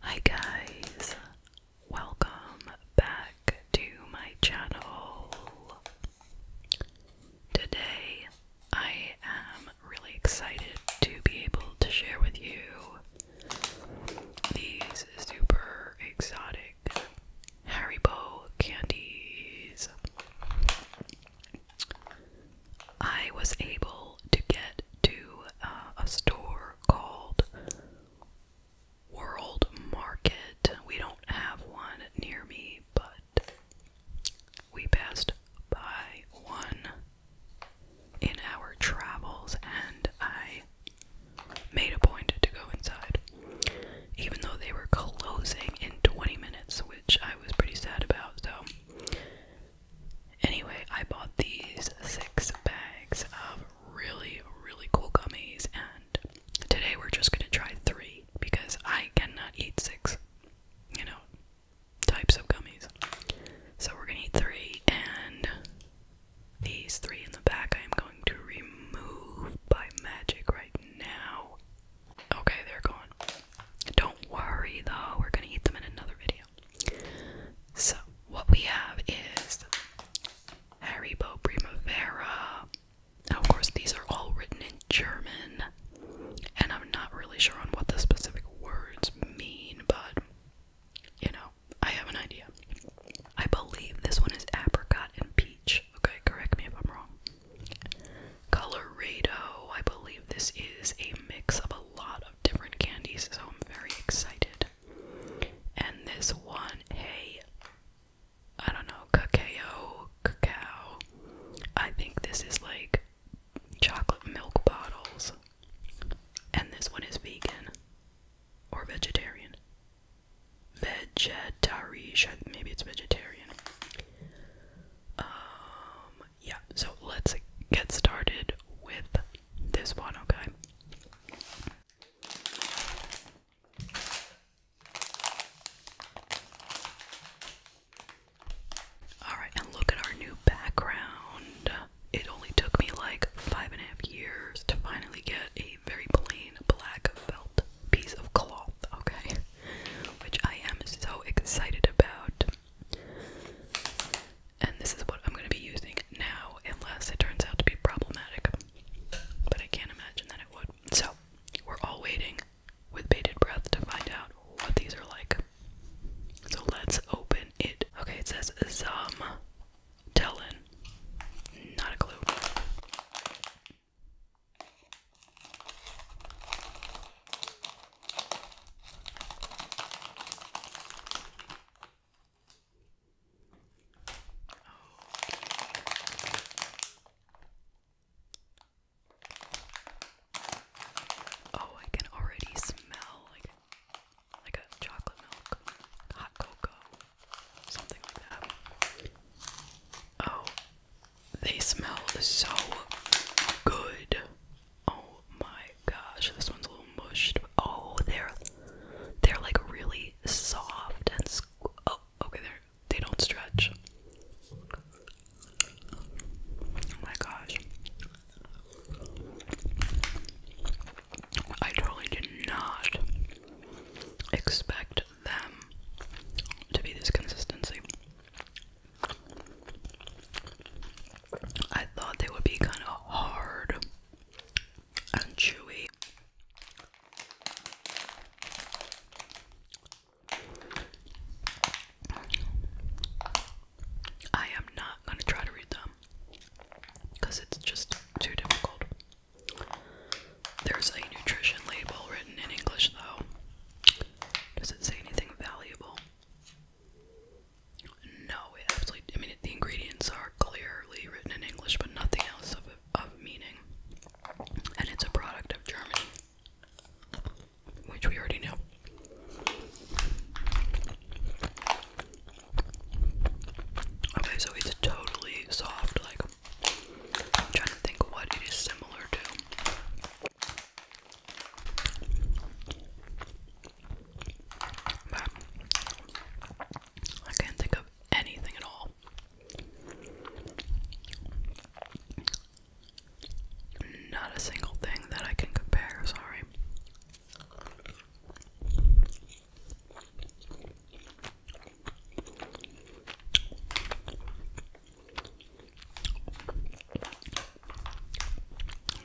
Hi guys, welcome back to my channel. Today I am really excited to be able to share with you these super exotic Haribo candies. I was able to get to uh, a store called World Market. We don't have one near me, but we passed by one in our travels, and I made a point to go inside, even though they were closing in 20 minutes, which I was pretty sad about. So Anyway, I bought these six bags of really, really cool gummies, and today we're just gonna try three because I cannot eat six, you know, types of gummies. So we're gonna eat three, and these three in the back I am going to remove by magic right now. Okay, they're gone. Don't worry though, we're gonna eat them in another video. So, what we have is Haribo Primavera. of course, these are all written in German, and I'm not really sure on what the specific words mean, but you know, I have an idea. I believe this one is apricot and peach. Okay, correct me if I'm wrong. Colorado, I believe this is a mix of a lot of different candies, so I'm very excited and this one hey I don't know cacao cacao I think this is like chocolate milk bottles and this one is vegan or vegetarian vegetarian maybe it's vegetarian um yeah so let's get started with this one, okay. Alright, and look at our new background. It only took me like five and a half years to finally get a very plain black felt piece of cloth, okay? Which I am so excited about and this is what I'm going to be using now unless it turns out to be problematic. But I can't imagine that it would. So, we're all waiting with bated breath to find out what these are like. So let's open it. Okay, it says Zum Tellin. Not a clue. Oh, I can already smell like like a chocolate milk, hot cocoa, something like that. Oh, they smell so good. Oh my gosh, this one's a little mushed. Oh, they're they're like really soft and oh, okay, they're they don't stretch. Oh my gosh. I totally did not expect them to be this consistency. I thought they would be kind of hard and chewy. I am not going to try to read them because it's just too difficult. There's a nutrition label written in English, though. Does it say anything valuable? No, absolutely. I mean, the ingredients are clearly written in English, but nothing else of of meaning. And it's a product of Germany, which we already know. Okay, so it's totally soft. Like, trying to think what it is similar to. I can't think of anything at all. Not a single thing that I can compare, sorry.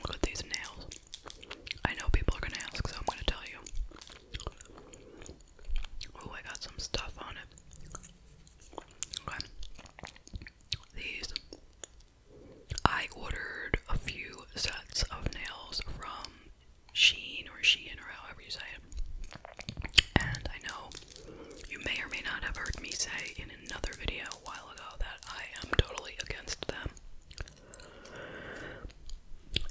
Look at these nails. I know people are gonna ask, so I'm gonna tell you. Oh, I got some stuff on it. Okay. These. I ordered a few sets of nails from Sheen or Shein or however you say it. And I know you may or may not have heard me say in another video a while ago that I am totally against them.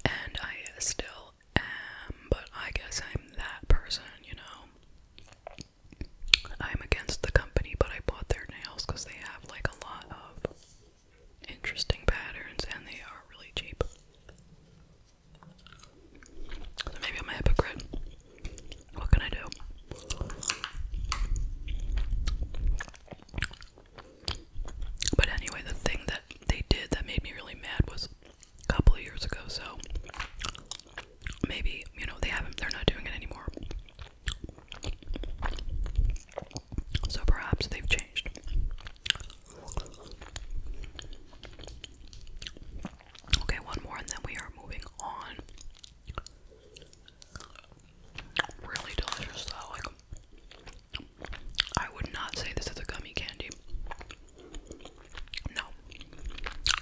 And I still am, but I guess I'm that person, you know. I'm against the company, but I bought their nails because they have like a lot of interesting patterns and they are really cheap. So maybe I'm a hypocrite. What can I do? But anyway, the thing that they did that made me really mad was a couple of years ago, so maybe, you know, they haven't, they're not doing it anymore. So perhaps they've changed. Okay, one more and then we are moving on. Really delicious though. Like I would not say this is a gummy candy. No.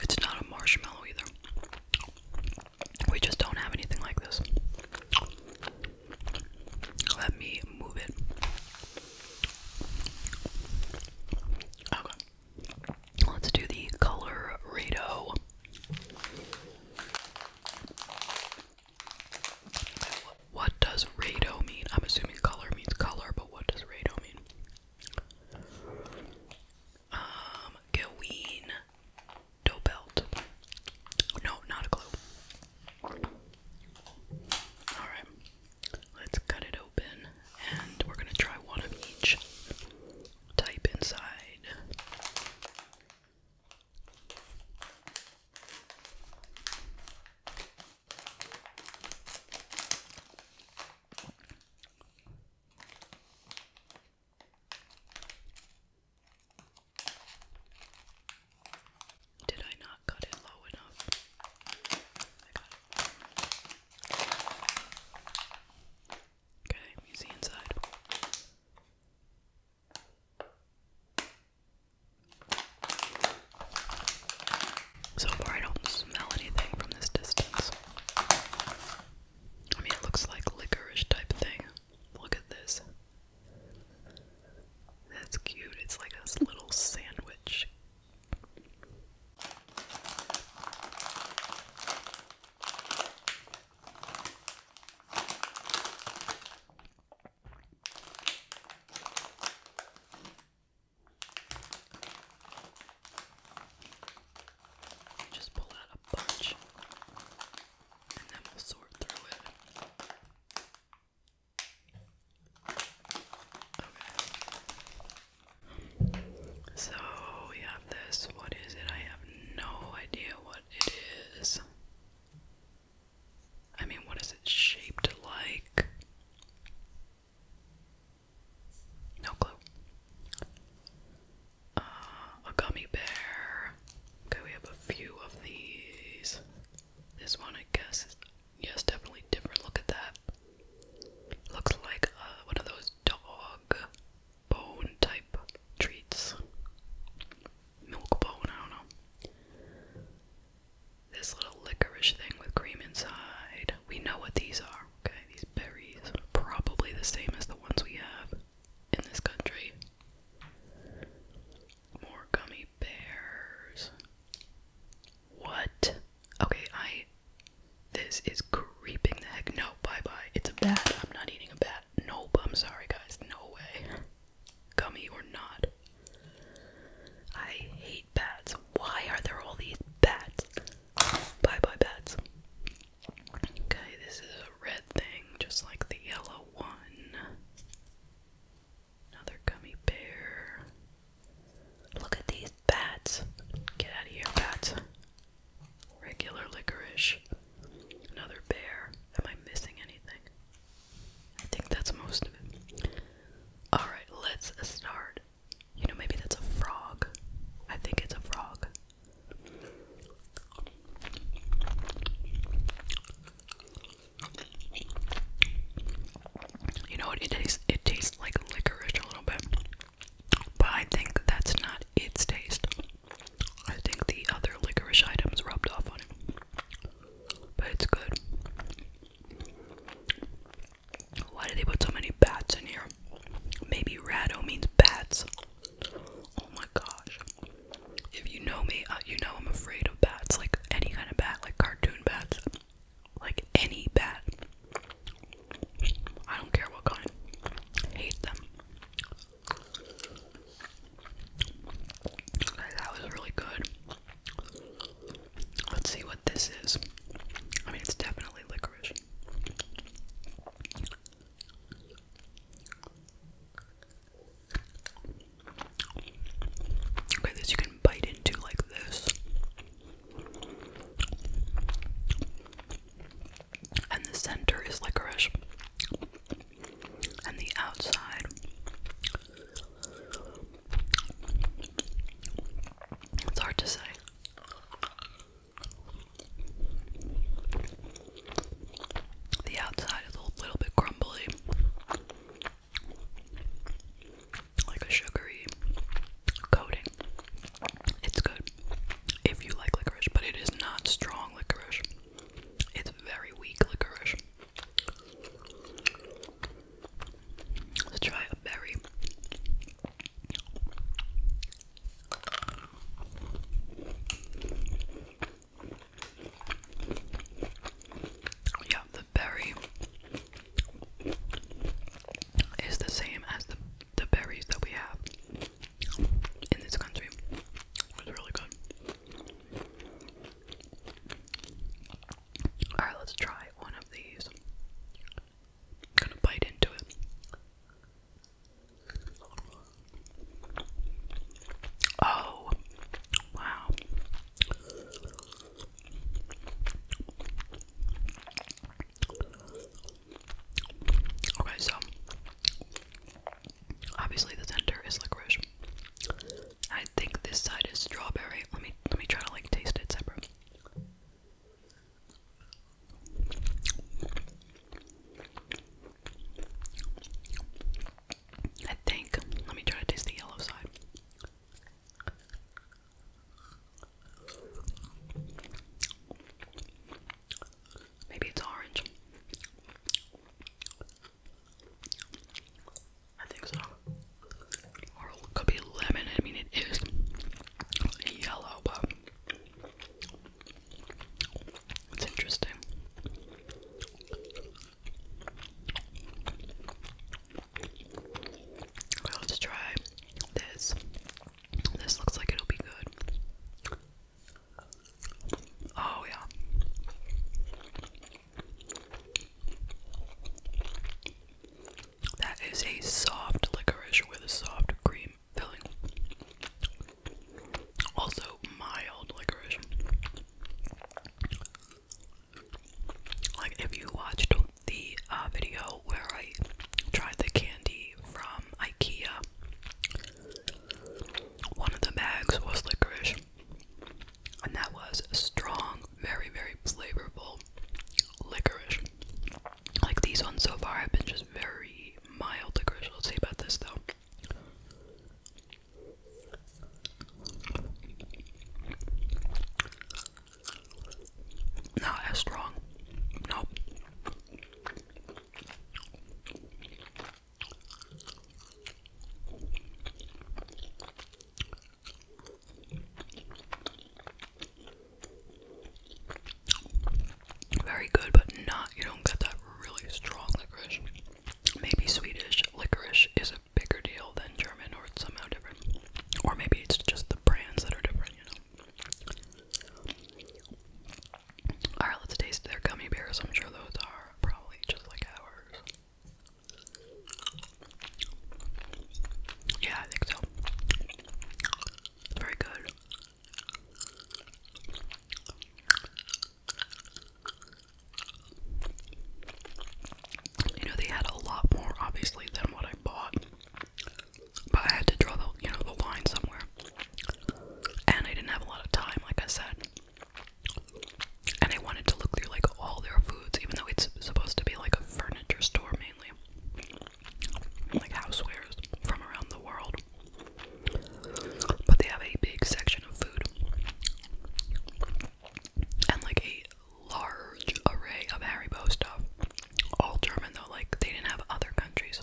It's not a marshmallow either. We just don't have anything like this. Let me move it. Okay. Let's do the color what does rado mean? I'm assuming color means color, but what does rado mean? Um, Gaween Dobelt. No, not a clue. Alright, let's cut it open and we're gonna try one of each. Type inside. Did I not cut it low enough? Okay, you see inside. So far, I don't smell anything from this distance. I mean, it looks like licorice type thing. Look at this. That's cute. It's like a little sandwich. Just pull out a bunch and then we'll sort through it. Okay. So we have this. What is it? I have no idea what it is. I mean, what is it shaped like? No clue. Uh, a gummy bear. Okay, we have a few of these. This one, I guess, yes, definitely different. Look at that. Looks like uh, one of those dog bone type treats milk bone, I don't know. This little licorice thing with cream inside. We know what these are, okay? These berries, probably the same as the ones we have in this country. More gummy bears. What? Okay, I. This is creeping the heck. No, bye bye. It's a bad. I'm not eating a bat that. Nope, I'm sorry, guys. No way. Gummy or not. I hate bats. Why are there all these bats? Bye bye, bats. Okay, this is a red thing, just like the yellow one. Another gummy bear. Look at these bats. Get out of here, bats. Regular licorice. Another bear. Am I missing anything? I think that's most of it. Alright, let's start. You know, maybe that's a frog. I think it's a frog. You know what? It tastes it tastes like licorice a little bit. But I think that's not its taste. I think the other licorice items rubbed off on it but it's good. Why do they put so many bats in here? Maybe rado means bats. Oh my gosh. If you know me, uh, you know I'm afraid of bats. Like any kind of bat, like cartoon bats. Like any bat. I don't care what kind. hate them that was really good. Let's see what this is. I mean, it's definitely licorice. Okay, this you can bite into like this. And the center is licorice and the outside. It's hard to say. The outside is a little bit crumbly, like a sugary coating. It's good if you like licorice, but it is not strong licorice. It's very weak licorice. Let's try a berry. Yeah, the berry is the same as the the berries that we have in this country. It's really good. Alright, let's try one of these. gonna bite into it. Oh, wow. Okay, so obviously the center is licorice. I think this side is strawberry. Let me let me try to like taste it separate. I think. Let me try to taste the yellow side. Maybe it's orange. I think so. could be lemon. I mean, it is yellow, but it's interesting. Well, let's try this. This looks like it'll be good. Oh, yeah. That is a soft licorice with a soft cream filling. Also, mild licorice. Like, if you watched the uh, video where I tried the candy from IKEA, one of the bags was licorice and that was strong, very, very flavorful licorice. Like these ones so far have been just very mild licorice. Let's see about this though. Not as strong. Nope. Very good, but not, you don't get that really strong licorice. Maybe Swedish licorice is a bigger deal than German or it's somehow different. Or maybe it's just the brands that are different, you know. Alright, let's taste their gummy bears. I'm sure those are probably just like ours. Yeah, I think so. It's very good. You know, they had a lot more, obviously, than what I bought. But I had to draw the, you know, the line somewhere. And I didn't have a lot of time, like I said. And I wanted to look through like all their foods, even though it's supposed to be like a furniture store mainly, like housewares from around the world. But they have a big section of food and like a large array of Haribo stuff. All German though, like they didn't have other countries.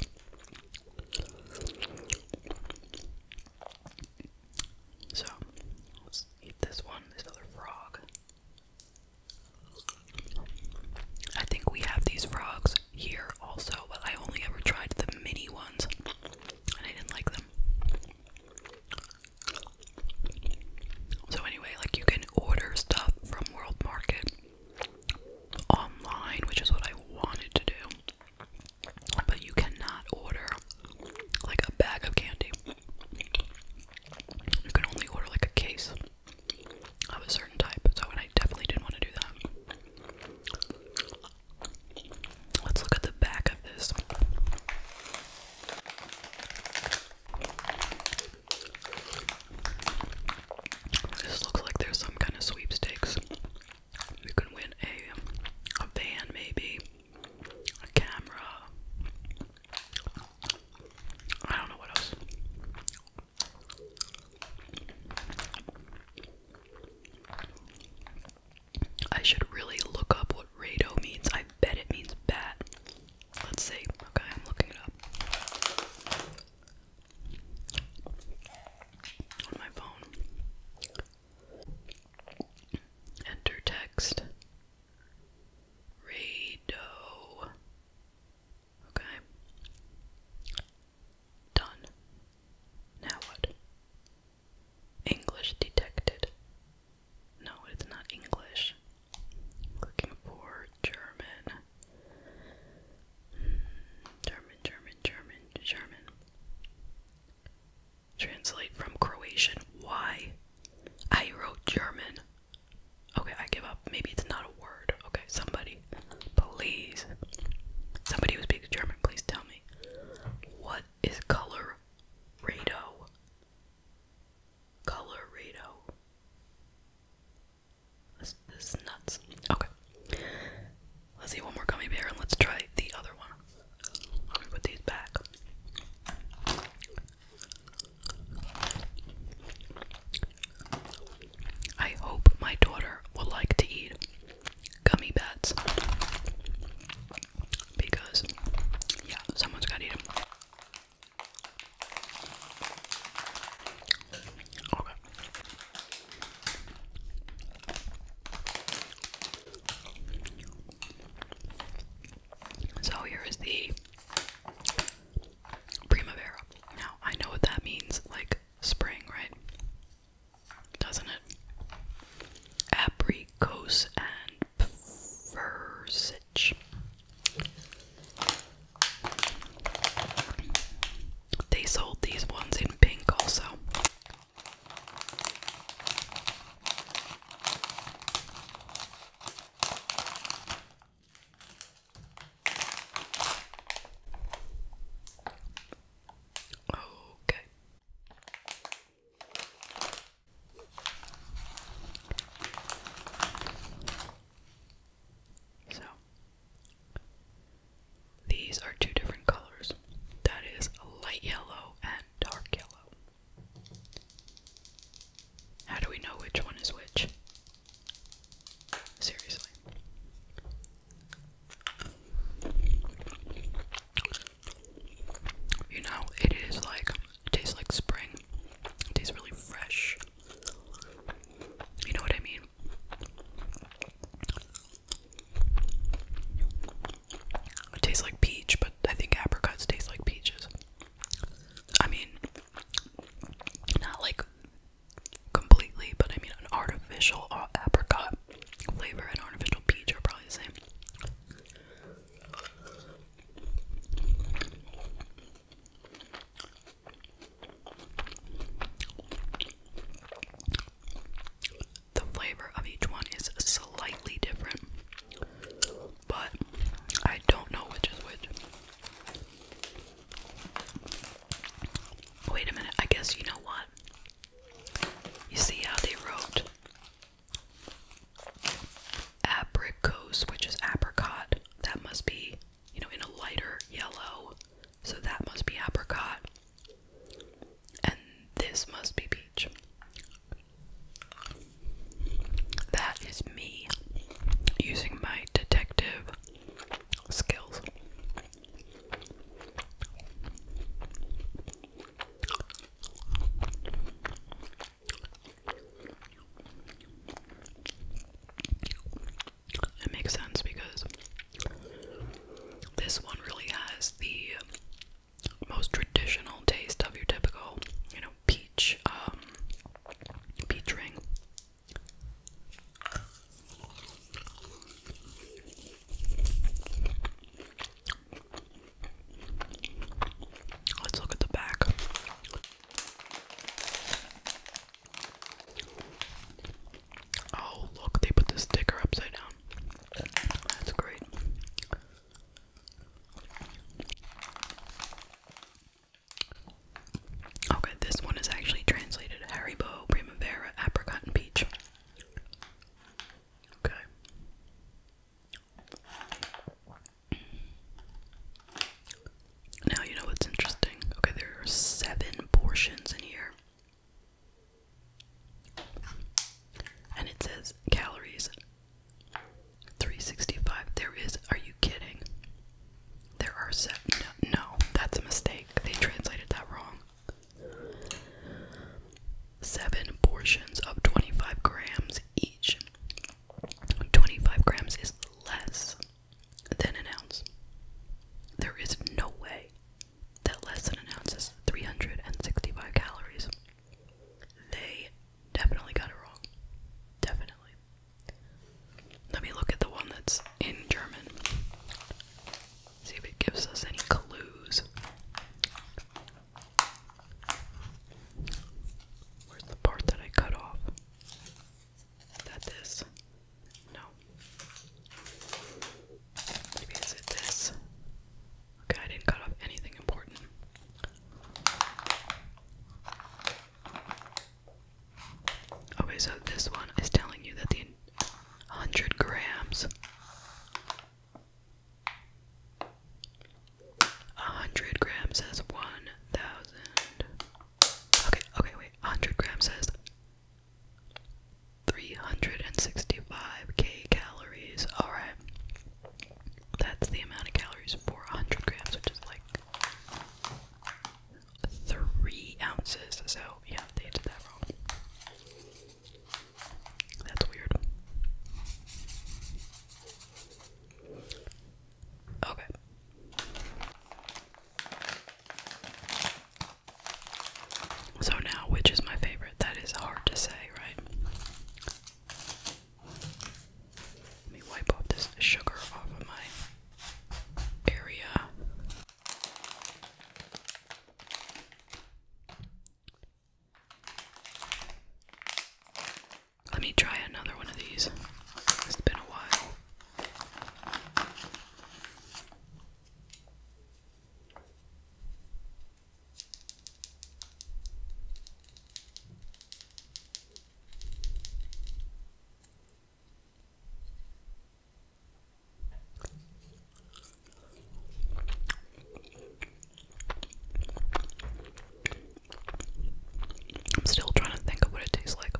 So, let's eat this one, this other frog. I think we have these frogs here also, but I only ever tried the mini ones and I didn't like them. So, anyway, like you can order stuff from World Market online, which is what I wanted to do but you cannot order like a bag of candy. You can only order like a case of a certain type. So, I definitely didn't want to do that. Let's look at the back of this. This looks like there's some kind of sweepstakes. You can win a a van, maybe a camera. I don't know what else. I should really look up what rado means. I bet it means bat. Let's see. Okay, I'm looking it up. On my phone. Enter text. Rado. Okay. Done. Now what? English detected. No, it's not English. Looking for German. Hmm, German, German, German, German. Translate from Croatian. Why? I wrote German. Okay, I give up. Maybe it's not a word. Okay, somebody. Please. Somebody who speaks German, please tell me. What is color Rado? Color This, is nuts. Okay. Let's see one more gummy bear and let's try the other one put these back. I hope my daughter will like to eat gummy bats because, yeah, someone's going to eat them. Okay. So here is the Primavera. Now I know what that means, like spring, right? Doesn't it? Apricots and versage. They sold these ones in pink also. Okay. So these are two different colors. That is light yellow and dark yellow. How do we know which one is which? Seriously. You know, it is like, it tastes like spring. It tastes really fresh. You know what I mean? tastes like peach, but I think apricots taste like peaches. I mean, not like completely, but I mean, an artificial uh, apricot flavor and artificial peach are probably the same the flavor of each one is slightly different, but I don't know which is which. Wait a minute, I guess you know what? You see how they wrote apricot, which is apricot. That must be, you know, in a lighter yellow. So that must be apricot. And this must be peach. That is me using my detective skills. It makes sense because this one really has the most traditional taste of your typical, you know, peach, um, peach ring. Let's look at the back. Oh, look, they put the sticker upside down. That's great. Okay, this one is actually translated Haribo, Primavera, Apricot, and Peach. Okay. Now you know what's interesting. Okay, there are seven portions in here. And it says calories 365. There is. Are you kidding? There are seven. No, no, that's a mistake. They translated that wrong. Seven portions of 25 grams each. 25 grams is less than an ounce. There is no way that less than an ounce is 365 calories. They definitely got it wrong. Definitely. Let me look at the one that's in German. See if it gives us any clues. Where's the part that I cut off? Is No. Maybe is it this? Okay, I didn't cut off anything important. Okay, so this one is telling you that the 100 grams. 100 grams says 1,000. Okay, okay, wait. 100 grams says 365k calories. Alright. That's the amount of calories for 100 grams, which is like three ounces. So, yeah, they did that wrong. That's weird. Okay. So now, which is my favorite? That is hard to say, right? Let me wipe off this sugar off of my area. Let me try another one of these. It's been a while. I'm still trying to think of what it tastes like.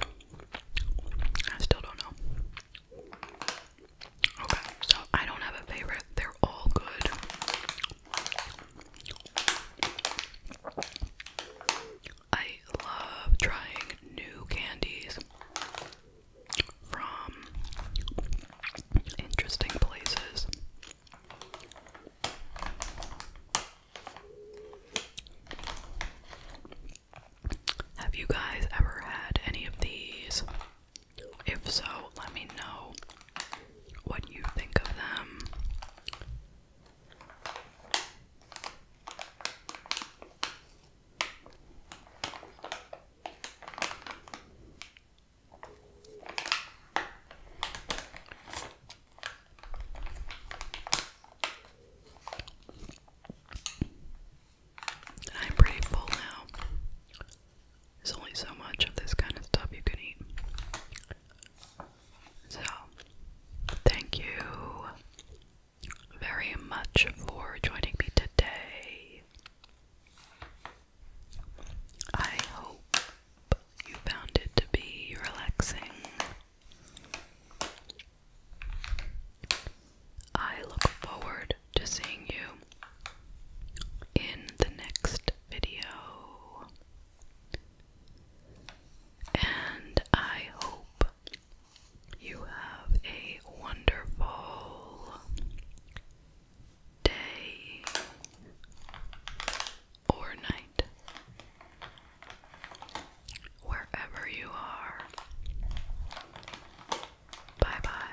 I still don't know. Okay, so I don't have a favorite. They're all good. I love trying new candies from interesting places. Have you guys ever had any of these? If so, let me know what you think of them. I'm pretty full now. There's only so much of this kind of stuff you can eat. So, thank you very much for joining me today. I hope you found it to be relaxing I look forward to seeing you in the next video. And I hope you have a wonderful day or night. Wherever you are, bye bye.